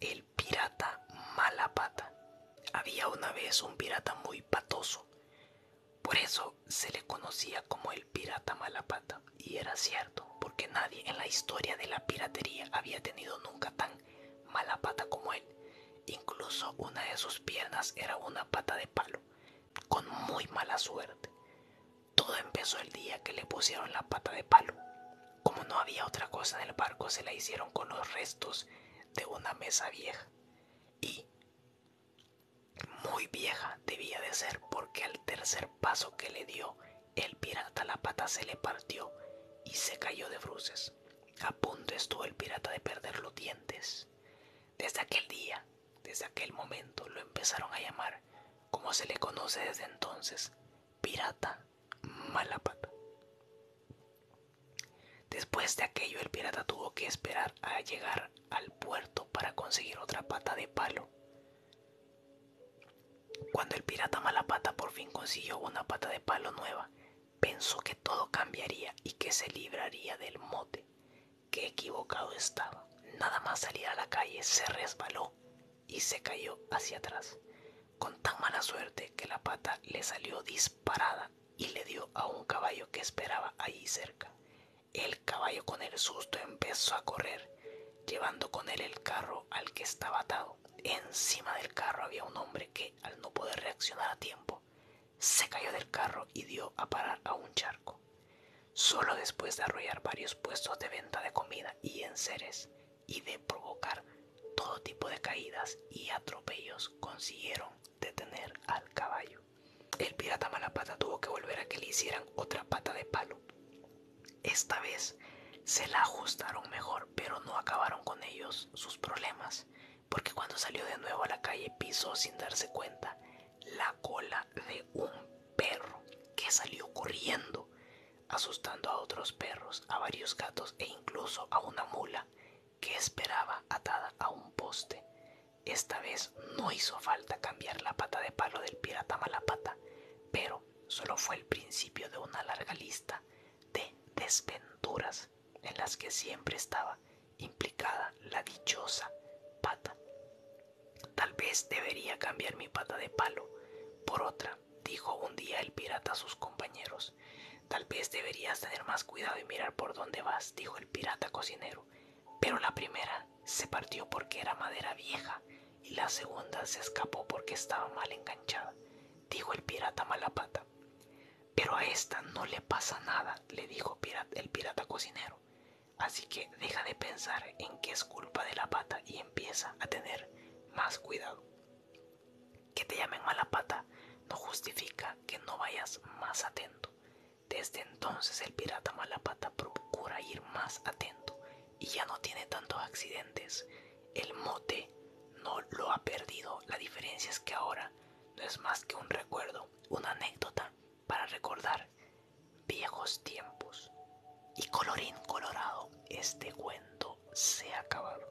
El pirata malapata, Había una vez un pirata muy patoso. Por eso se le conocía como el pirata malapata Y era cierto, porque nadie en la historia de la piratería había tenido nunca tan mala pata como él. Incluso una de sus piernas era una pata de palo, con muy mala suerte. Todo empezó el día que le pusieron la pata de palo. Como no había otra cosa en el barco, se la hicieron con los restos de una mesa vieja. Y muy vieja debía de ser porque al tercer paso que le dio el pirata la pata se le partió y se cayó de bruces. A punto estuvo el pirata de perder los dientes. Desde aquel día desde aquel momento lo empezaron a llamar, como se le conoce desde entonces, Pirata Malapata. Después de aquello el pirata tuvo que esperar a llegar al puerto para conseguir otra pata de palo. Cuando el pirata Malapata por fin consiguió una pata de palo nueva, pensó que todo cambiaría y que se libraría del mote Qué equivocado estaba. Nada más salir a la calle se resbaló y se cayó hacia atrás, con tan mala suerte que la pata le salió disparada y le dio a un caballo que esperaba allí cerca. El caballo con el susto empezó a correr, llevando con él el carro al que estaba atado. Encima del carro había un hombre que, al no poder reaccionar a tiempo, se cayó del carro y dio a parar a un charco. Solo después de arrollar varios puestos de venta de comida y enseres y de provocar todo tipo de caídas y atropellos consiguieron detener al caballo. El pirata Malapata tuvo que volver a que le hicieran otra pata de palo esta vez se la ajustaron mejor, pero no acabaron con ellos sus problemas, porque cuando salió de nuevo a la calle pisó sin darse cuenta la cola de un perro que salió corriendo, asustando a otros perros, a varios gatos e incluso a una mula que esperaba atada a un poste. Esta vez no hizo falta cambiar la pata de palo del pirata Malapata, pero solo fue el principio de una larga lista de desventuras en las que siempre estaba implicada la dichosa pata. Tal vez debería cambiar mi pata de palo por otra, dijo un día el pirata a sus compañeros. Tal vez deberías tener más cuidado y mirar por dónde vas, dijo el pirata cocinero pero la primera se partió porque era madera vieja y la segunda se escapó porque estaba mal enganchada, dijo el pirata Malapata. Pero a esta no le pasa nada, le dijo el pirata cocinero. Así que deja de pensar en que es culpa de la pata y empieza a tener más cuidado. Que te llamen mala pata no justifica que no vayas más atento. Desde entonces el pirata Malapata procura ir más atento y ya no tiene tantos accidentes. El mote no lo ha perdido, la diferencia es que ahora no es más que un recuerdo, una anécdota para recordar viejos tiempos. Y colorín colorado, este cuento se ha acabado.